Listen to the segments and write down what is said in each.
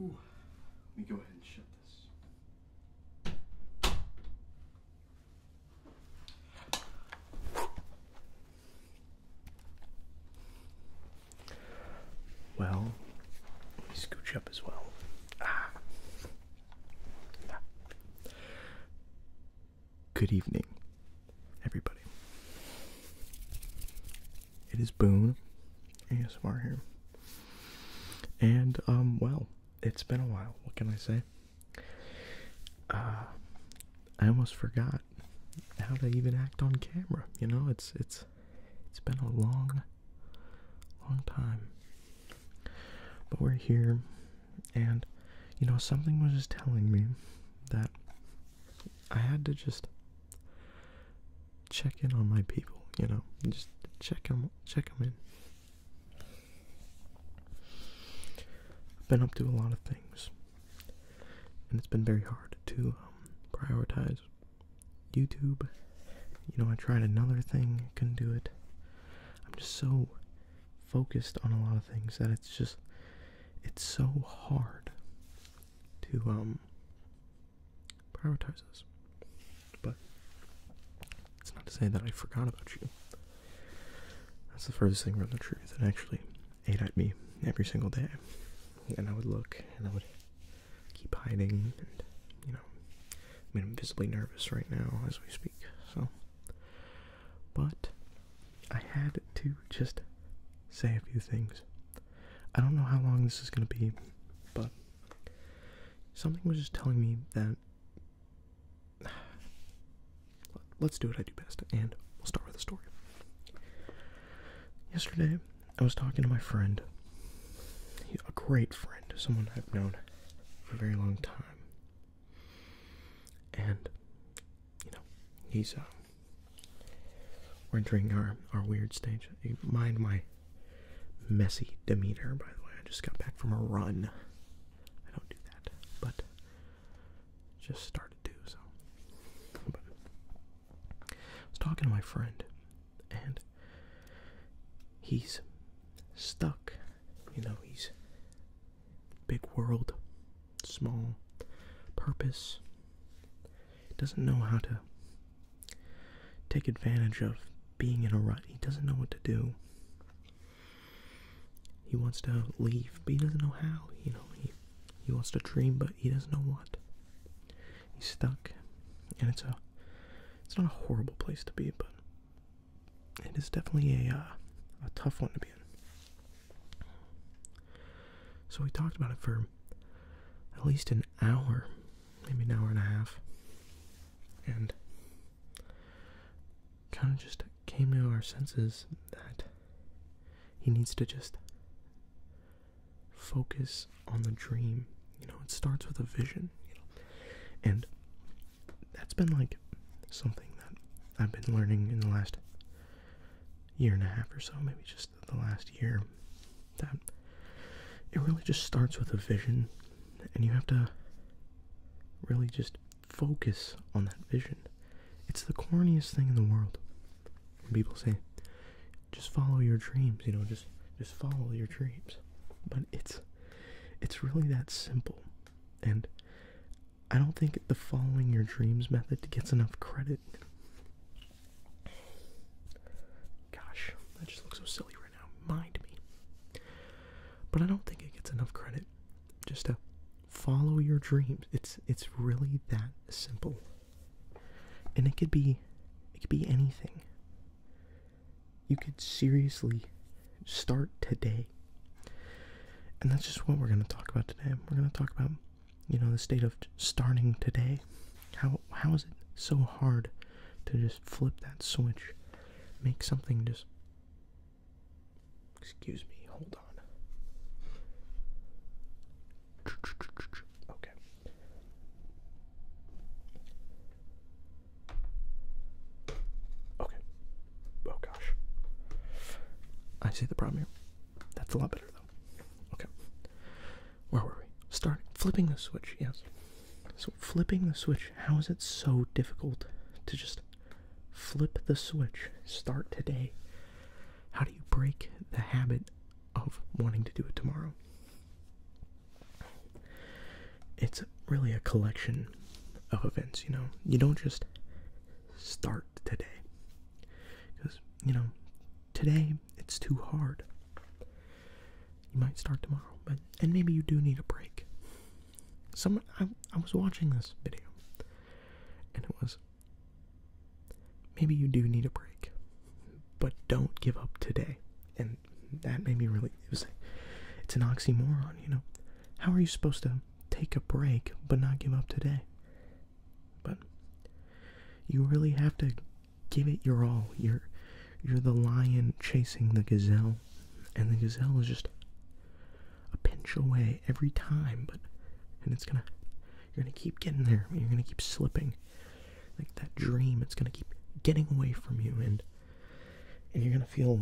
Let me go ahead and shut this. Well, let me scooch up as well. Ah. Good evening, everybody. It is Boone ASMR here. And um well, it's been a while, what can I say? Uh I almost forgot how to even act on camera, you know, it's it's it's been a long long time. But we're here and you know something was just telling me that I had to just check in on my people, you know, just check them, check them in. I've been up to a lot of things, and it's been very hard to um, prioritize YouTube. You know, I tried another thing, couldn't do it. I'm just so focused on a lot of things that it's just, it's so hard to um, prioritize us. But it's not to say that I forgot about you. That's the furthest thing from the truth. It actually ate at me every single day. And I would look and I would keep hiding and you know I mean I'm visibly nervous right now as we speak, so but I had to just say a few things I don't know how long this is gonna be, but something was just telling me that let's do what I do best, and we'll start with a story. Yesterday, I was talking to my friend, a great friend, someone I've known for a very long time, and you know, he's um we're entering our our weird stage. Mind my messy demeanor, by the way. I just got back from a run. I don't do that, but just started to. So, I was talking to my friend, and he's stuck. You know, he's big world, small purpose. doesn't know how to take advantage of being in a rut. He doesn't know what to do. He wants to leave, but he doesn't know how. You know, he he wants to dream, but he doesn't know what. He's stuck, and it's a it's not a horrible place to be, but it is definitely a uh, a tough one to be in. So we talked about it for at least an hour, maybe an hour and a half, and kind of just came to our senses that he needs to just focus on the dream. You know, it starts with a vision, and that's been like something that I've been learning in the last year and a half or so, maybe just the last year that it really just starts with a vision and you have to really just focus on that vision. It's the corniest thing in the world. people say just follow your dreams, you know, just just follow your dreams. But it's it's really that simple. And I don't think the following your dreams method gets enough credit. Gosh, that just looks so silly right now. Mind me. But I don't think it gets enough credit. Just to follow your dreams. It's it's really that simple. And it could be it could be anything. You could seriously start today. And that's just what we're going to talk about today. We're going to talk about you know the state of starting today how how is it so hard to just flip that switch make something just excuse me hold on okay Okay. Oh gosh. I see the problem here. That's a lot better Okay. Where were we? Starting. Flipping the switch, yes. So, flipping the switch, how is it so difficult to just flip the switch? Start today. How do you break the habit of wanting to do it tomorrow? It's really a collection of events, you know? You don't just start today. Because you know, today it's too hard. You might start tomorrow, but and maybe you do need a break. Some I, I was watching this video, and it was maybe you do need a break, but don't give up today. And that made me really. It was, it's an oxymoron, you know. How are you supposed to take a break but not give up today. But you really have to give it your all. You're you're the lion chasing the gazelle and the gazelle is just a pinch away every time but and it's gonna you're gonna keep getting there you're gonna keep slipping like that dream it's gonna keep getting away from you and and you're gonna feel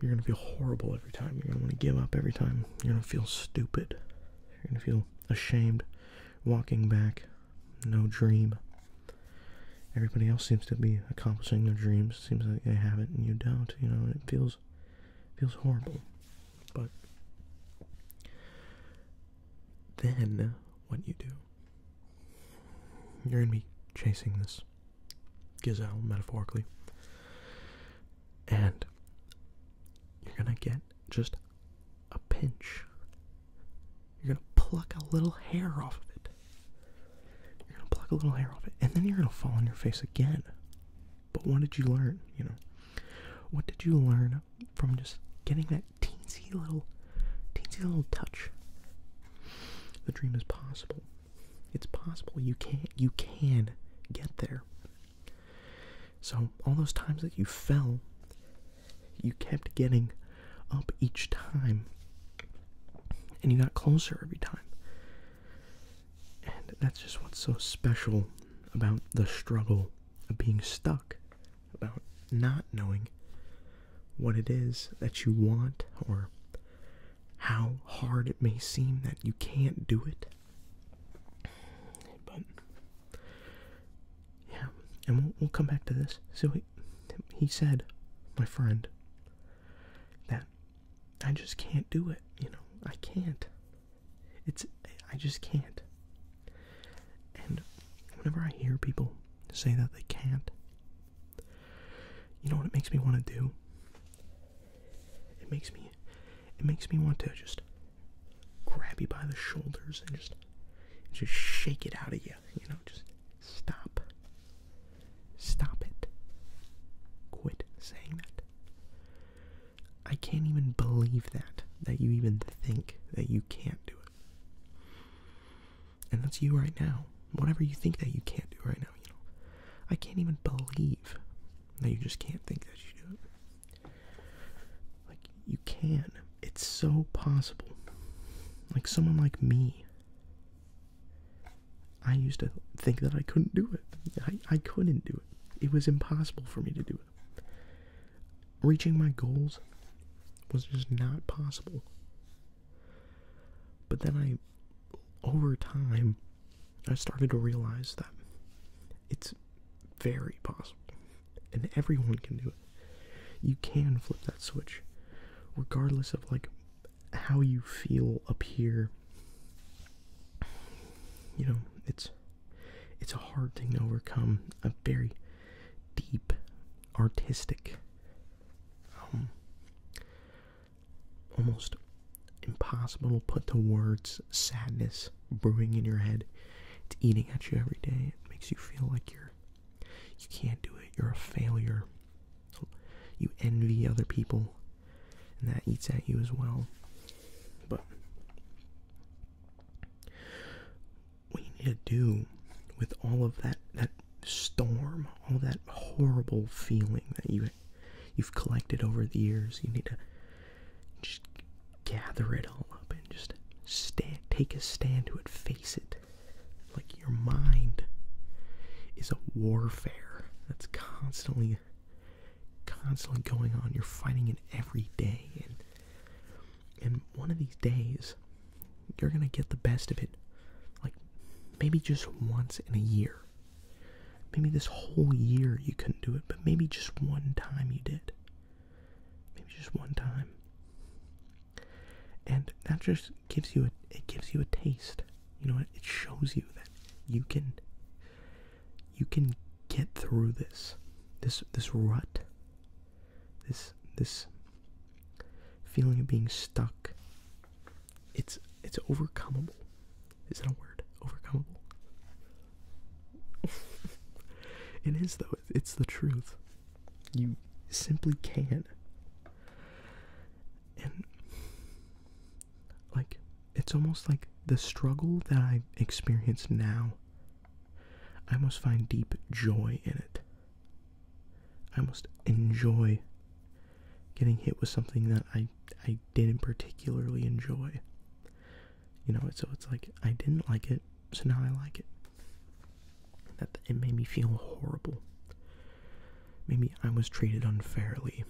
you're gonna feel horrible every time you're gonna want to give up every time you're gonna feel stupid. You're gonna feel ashamed. Walking back, no dream. Everybody else seems to be accomplishing their dreams. Seems like they have it, and you don't. You know, it feels feels horrible. But then, what you do? You're gonna be chasing this gazelle, metaphorically and you're gonna get just a pinch. You're gonna pluck a little hair off of it. You're gonna pluck a little hair off it, and then you're gonna fall on your face again. But what did you learn? You know, what did you learn from just getting that teensy little, teensy little touch? The dream is possible. It's possible you can not you can get there. So, all those times that you fell, you kept getting up each time, and you got closer every time. And that's just what's so special about the struggle of being stuck, about not knowing what it is that you want or how hard it may seem that you can't do it. But yeah, and we'll, come back to this. So he said, my friend, that I just can't do it. You know, I can't. It's I just can't. And whenever I hear people say that they can't, you know what it makes me want to do? It makes me it makes me want to just grab you by the shoulders and just just shake it out of you, you know, just stop. Stop it. Quit saying that. I can't even believe that that you even think that you can't do it. And that's you right now. Whatever you think that you can't do right now, you know. I can't even believe now you just can't think that you do it. Like you can. It's so possible. Like someone like me. I used to think that I couldn't do it. I, I couldn't do it. It was impossible for me to do it. Reaching my goals was just not possible. But then I, over time, I started to realize that it's very possible and everyone can do it. You can flip that switch regardless of like how you feel up here. You know, it's it's a hard thing to overcome, a very deep artistic um, almost impossible to put to words sadness brewing in your head. It's eating at you every day. It makes you feel like you're you can't do it. You're a failure. You envy other people, and that eats at you as well. But what you need to do with all of that that storm, all that horrible feeling that you you've collected over the years. You need to just gather it all up and just stand, take a stand to it, face it. Like your mind is a warfare that's constantly, constantly going on. You're fighting it every day, and and one of these days, you're gonna get the best of it. Like maybe just once in a year. Maybe this whole year you couldn't do it, but maybe just one time you did. Maybe just one time. And that just gives you a it gives you a taste. You know what? It shows you that you can you can get through this. This this rut. This this feeling of being stuck it's it's overcomable. Is that a word? Overcomable. it is though. It's the truth. You simply can. And like it's almost like the struggle that I experience now. I must find deep joy in it. I must enjoy getting hit with something that I I didn't particularly enjoy. You know, so it's like I didn't like it, so now I like it. That it made me feel horrible. Maybe I was treated unfairly.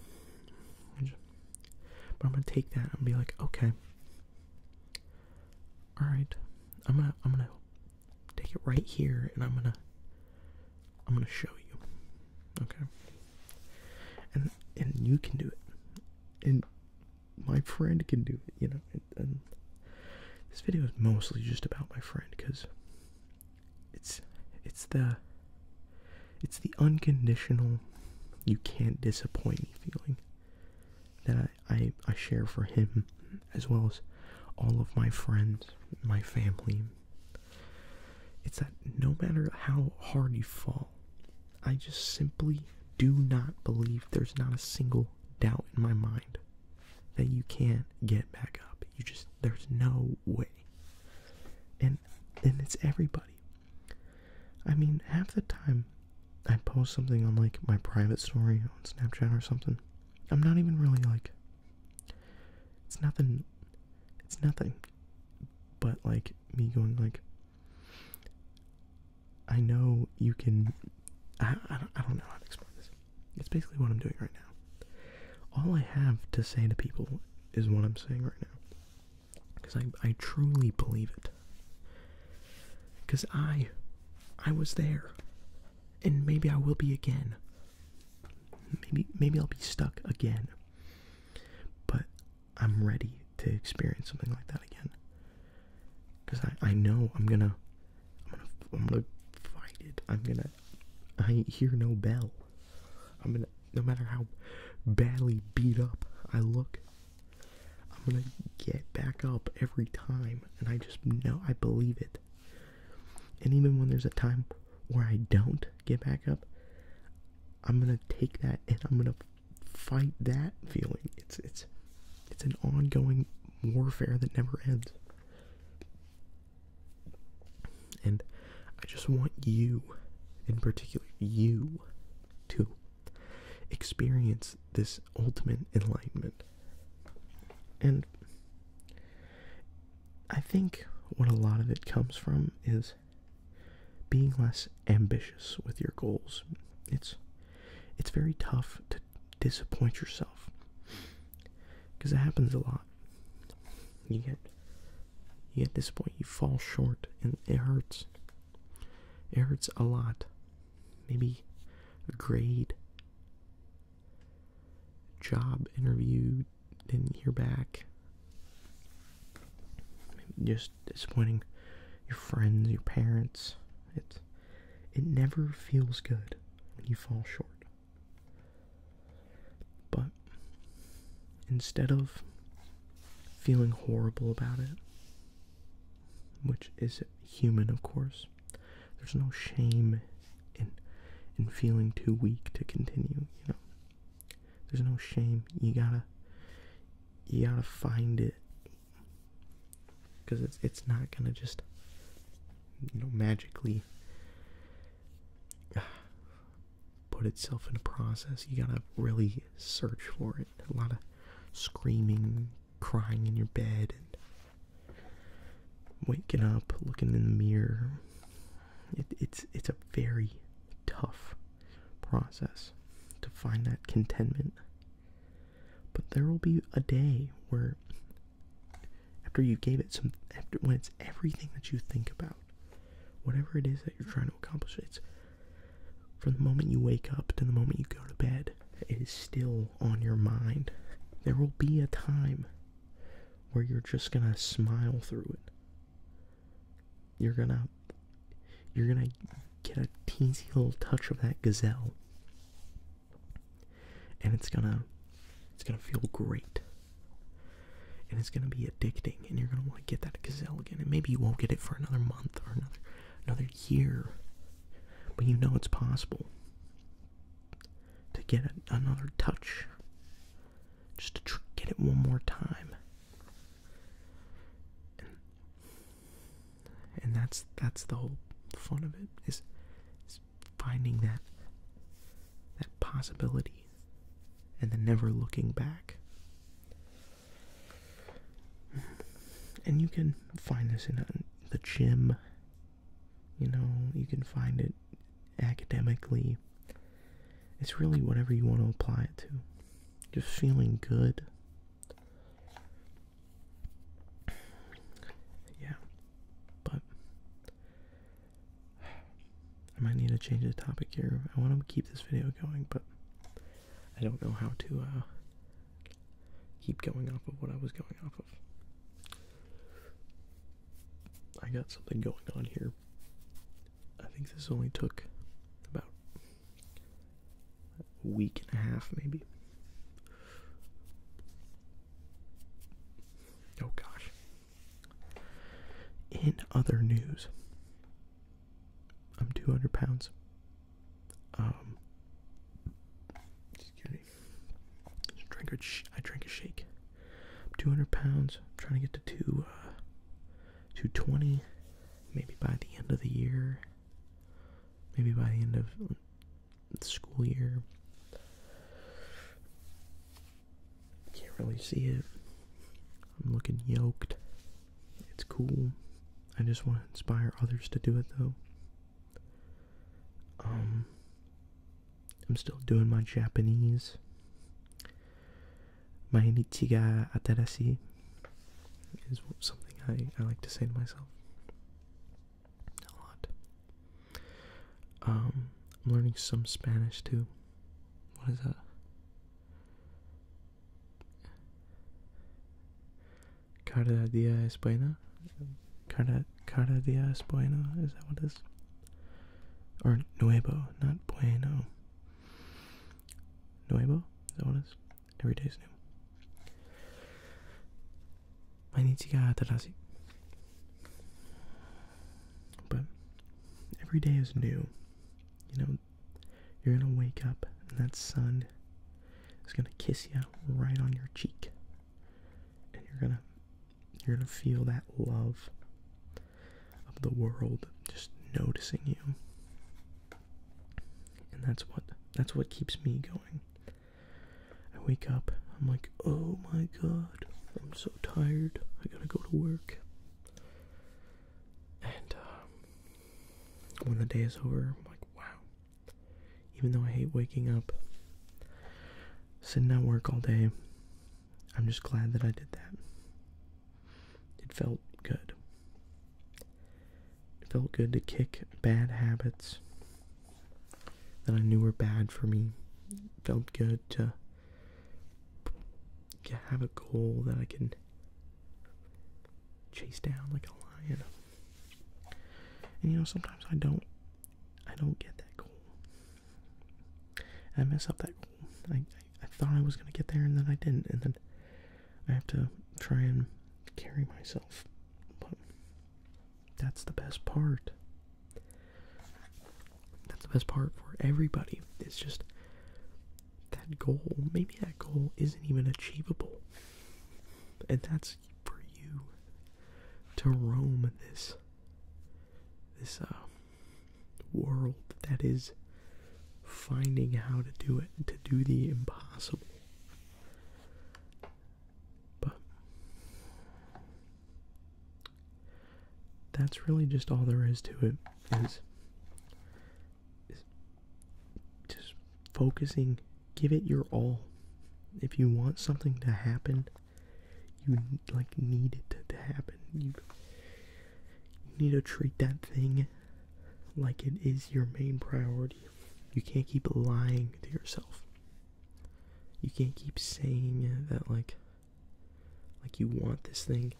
But I'm gonna take that and be like, okay, all right, I'm gonna I'm gonna take it right here, and I'm gonna I'm gonna show you. Okay. And and you can do it. And my friend can do it, you know. this video is mostly just about my friend because it's it's the it's the unconditional you can't disappoint me feeling that I I share for him as well as all of my friends, my family, it's that no matter how hard you fall, I just simply do not believe there's not a single doubt in my mind that you can't get back up. You just, there's no way. And, and it's everybody. I mean, half the time I post something on like my private story on Snapchat or something. I'm not even really like, it's nothing, it's nothing but like me going like I know you can I I don't, know how to explain this. It's basically what I'm doing right now. All I have to say to people is what I'm saying right now. Cuz I I truly believe it. Cuz I I was there. And maybe I will be again. Maybe maybe I'll be stuck again. But I'm ready to experience something like that again. Cause I, I know I'm gonna I'm gonna I'm gonna fight it. I'm gonna I hear no bell. I'm gonna no matter how badly beat up I look, I'm gonna get back up every time and I just know I believe it. And even when there's a time where I don't get back up, I'm gonna take that and I'm gonna fight that feeling. It's it's it's an ongoing warfare that never ends. And I just want you, in particular, you, to experience this ultimate enlightenment. And I think what a lot of it comes from is being less ambitious with your goals. It's it's very tough to disappoint yourself because it happens a lot. You get you get disappointed, you fall short, and it hurts. It hurts a lot. Maybe a grade, job interview, didn't hear back. just disappointing your friends, your parents. It it never feels good when you fall short. But instead of feeling horrible about it, which is human, of course, there's no shame in in feeling too weak to continue. You know, there's no shame. You gotta, you gotta find it, because it's it's not gonna just, you know, magically ah, put itself in a process. You gotta really search for it. A lot of screaming, crying in your bed, and waking up, looking in the mirror, it's it's a very tough process to find that contentment but there will be a day where after you gave it some after when it's everything that you think about whatever it is that you're trying to accomplish it's from the moment you wake up to the moment you go to bed it is still on your mind there will be a time where you're just going to smile through it you're gonna you're gonna get a teensy little touch of that gazelle. And it's gonna it's gonna feel great. And it's gonna be addicting and you're gonna want to get that gazelle again. And maybe you won't get it for another month or another another year. But you know it's possible to get another touch just to get it one more time. And, that's that's the whole fun of it is, finding that that possibility and then never looking back. And you can find this in uh, the gym. You know, you can find it academically. It's really whatever you want to apply it to. Just feeling good. Yeah. But I might need to change the topic here. I want to keep this video going, but I don't know how to uh, keep going off of what I was going off of. I got something going on here I think this only took about a week and a half, maybe. Oh gosh. In other news, I'm 200 pounds. Um, excuse me. I drank I drank a shake 200 pounds. trying to get to two, uh, 220, maybe by the end of the year, maybe by the end of the school year. Can't really see it. I'm looking yoked. It's cool. I just want to inspire others to do it though. Um, I'm still doing my Japanese. Mainichi ga atarashi is something I, I like to say to myself a lot. Um, I'm learning some Spanish too. What is that? Cada dia es buena? Cada, cada dia es buena? Is that what it is? Or Nuevo, not Bueno. Nuevo? Is that what it is? Every day is new. But every day is new. You know, you're gonna wake up and that sun is gonna kiss you right on your cheek. And you're gonna you're going to feel that love of the world just noticing you. And that's what that's what keeps me going. I wake up, I'm like, "Oh my god, I'm so tired. I got to go to work." And um, when the day is over, I'm like, "Wow." Even though I hate waking up, sitting at work all day, I'm just glad that I did that. It felt good. It felt good to kick bad habits that I knew were bad for me. felt good to have a goal that I can chase down like a lion. And you know, sometimes I don't I don't get that goal. I mess up that. I, I, I thought I was gonna get there and then I didn't, and then I have to try and carry myself. But that's the best part. That's the best part for everybody. It's just that goal. Maybe that goal isn't even achievable. And that's for you to roam this this uh, world that is finding how to do it to do the impossible but that's really just all there is to it is, just focusing give it your all if you want something to happen you like need it to, happen. You, you need to treat that thing like it is your main priority. You can't keep lying to yourself. You can't keep saying that like like you want this thing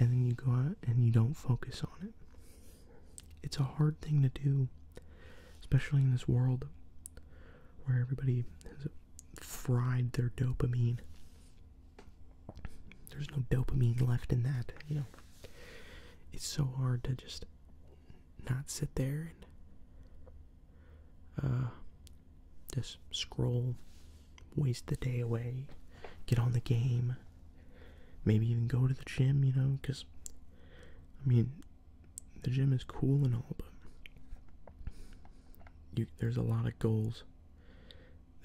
and then you go out and you don't focus on it. It's a hard thing to do, especially in this world where everybody has fried their dopamine. There's no dopamine left in that, you know. It's so hard to just not sit there and uh, just scroll, waste the day away, get on the game, maybe even go to the gym, you know, because I mean, the gym is cool and all, but there's a lot of goals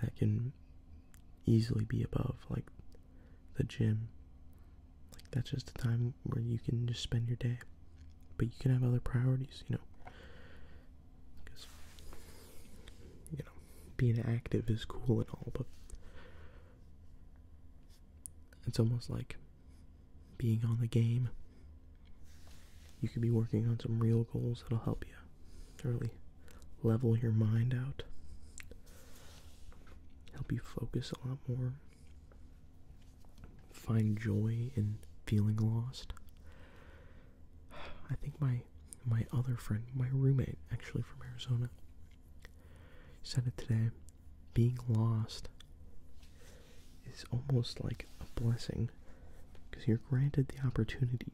that can easily be above, like the gym. Like that's just a time where you can just spend your day, but you can have other priorities, you know. Because you know, being active is cool and all, but it's almost like being on the game, you could be working on some real goals that'll help you really level your mind out, help you focus a lot more, find joy in feeling lost. I think my my other friend, my roommate actually from Arizona, said it today. Being lost is almost like a blessing because you're granted the opportunity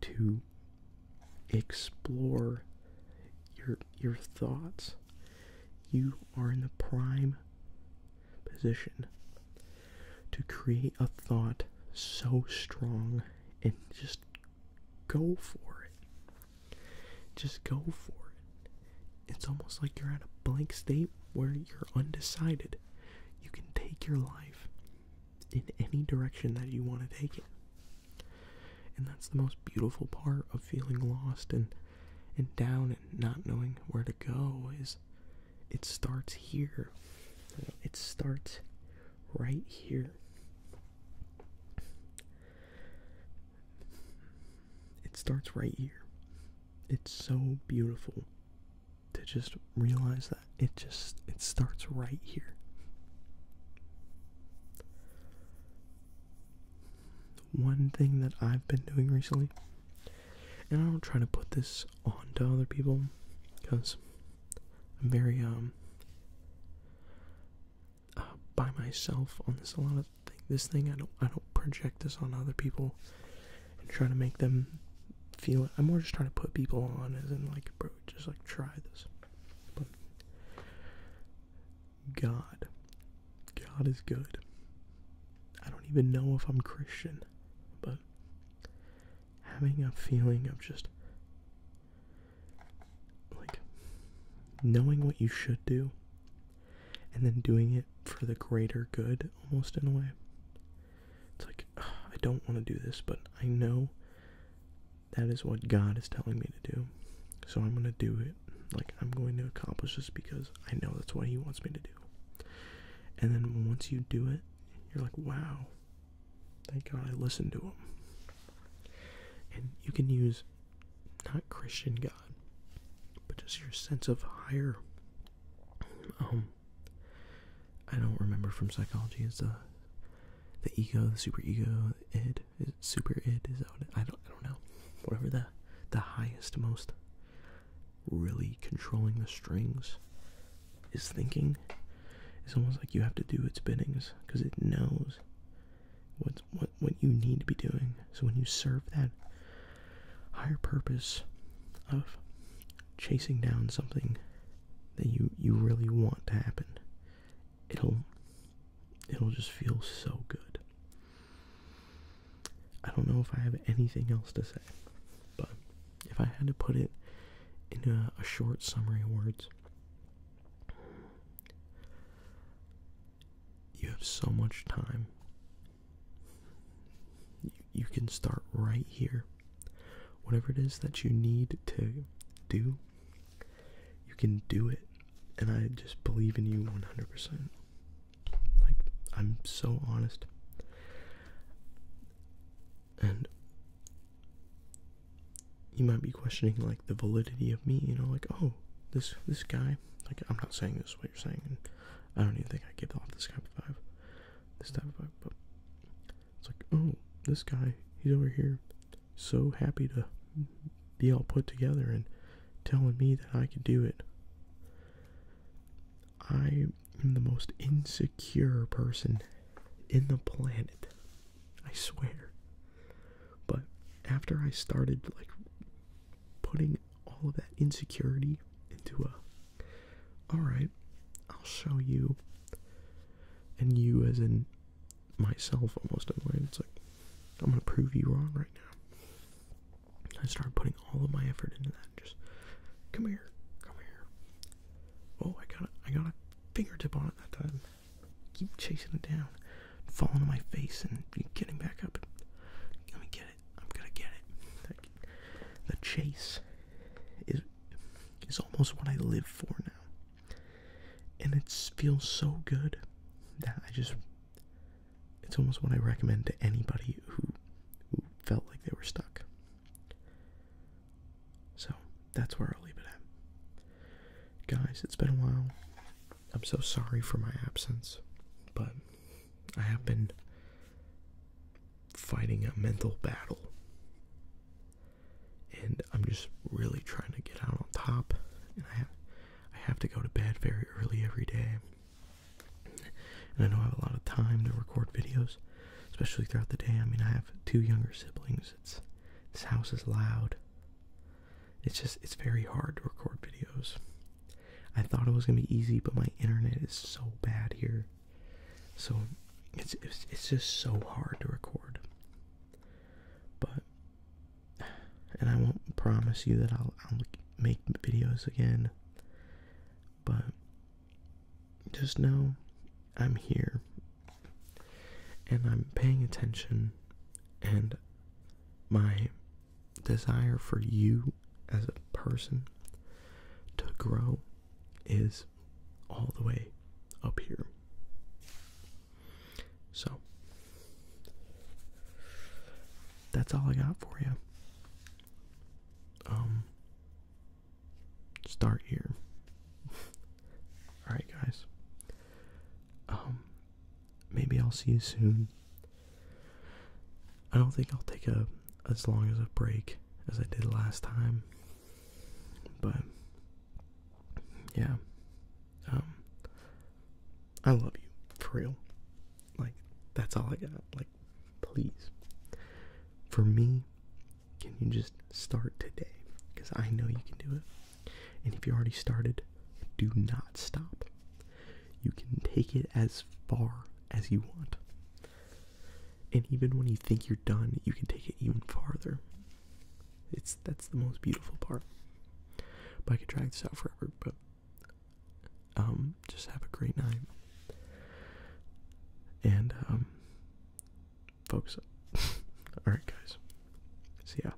to explore your your thoughts you are in the prime position to create a thought so strong and just go for it just go for it it's almost like you're at a blank state where you're undecided. You can take your life in any direction that you want to take it. And that's the most beautiful part of feeling lost and and down and not knowing where to go is it starts here. It starts right here. It starts right here it's so beautiful to just realize that it just it starts right here one thing that i've been doing recently and i don't try to put this on to other people because i'm very um uh, by myself on this a lot of this thing. I don't I don't project this on other people and try to make them feel it. I'm more just trying to put people on as in like bro, just like try this. But God. God is good. I don't even know if I'm Christian, but having a feeling of just like knowing what you should do and then doing it for the greater good almost in a way. It's like, I don't want to do this, but I know that is what God is telling me to do. So I'm going to do it. Like, I'm going to accomplish this because I know that's what He wants me to do. And then once you do it, you're like, wow, thank God I listened to Him. And you can use not Christian God, but just your sense of higher. Um, I don't remember from psychology. Is the the ego, the super ego, id, super id? Is that what it, I don't? I don't know. Whatever the the highest, most really controlling the strings is thinking. It's almost like you have to do its biddings because it knows What's what what you need to be doing. So when you serve that higher purpose of chasing down something that you you really want to happen, it'll it'll just feel so good. I don't know if I have anything else to say, but if I had to put it in a, short summary words, you have so much time. You, can start right here. Whatever it is that you need to do, you can do it. And I just believe in you 100%. Like, I'm so honest. And you might be questioning, like, the validity of me, you know, like, oh, this this guy. Like I'm not saying this what you're saying, I don't even think I give off this type of vibe, this type of vibe. But it's like, oh, this guy, he's over here, so happy to be all put together and telling me that I could do it. I am the most insecure person in the planet. I swear. But after I started like putting all of that insecurity into a, all right, I'll show you. And you, as in myself, almost it's like, I'm gonna prove you wrong right now. I started putting all of my effort into that. Just come here, come here. Oh, I got a, I got a fingertip on it that time. Keep chasing it down falling on my face and getting back up. Let me get it. I'm gonna get it. the chase is is almost what I live for now, and it feels so good that I just. It's almost what I recommend to anybody who felt like they were stuck. So that's where I'll leave it at. Guys, it's been a while. I'm so sorry for my absence, but I have been fighting a mental battle. And I'm just really trying to get out on top. And I have, to go to bed very early every day. And I don't have a lot of time to record videos, especially throughout the day. I mean, I have two younger siblings. It's this house is loud. It's just, it's very hard to record videos. I thought it was gonna be easy, but my internet is so bad here. So it's, it's, just so hard to record. But, and I won't promise you that I'll make videos again. But just know I'm here and I'm paying attention and my desire for you as a person to grow is all the way up here. So, that's all I got for you. Um, start here. Alright, guys. Um, maybe I'll see you soon. I don't think I'll take a as long as a break as I did last time. But yeah. Um I love you, for real. Like, that's all I got. Like, please. For me, can you just start today? Because I know you can do it. And if you already started, do not stop. You can take it as far as you want. And even when you think you're done, you can take it even farther. It's that's the most beautiful part. But I could drag this out forever, but um just have a great night. And um focus up. Alright guys. See ya.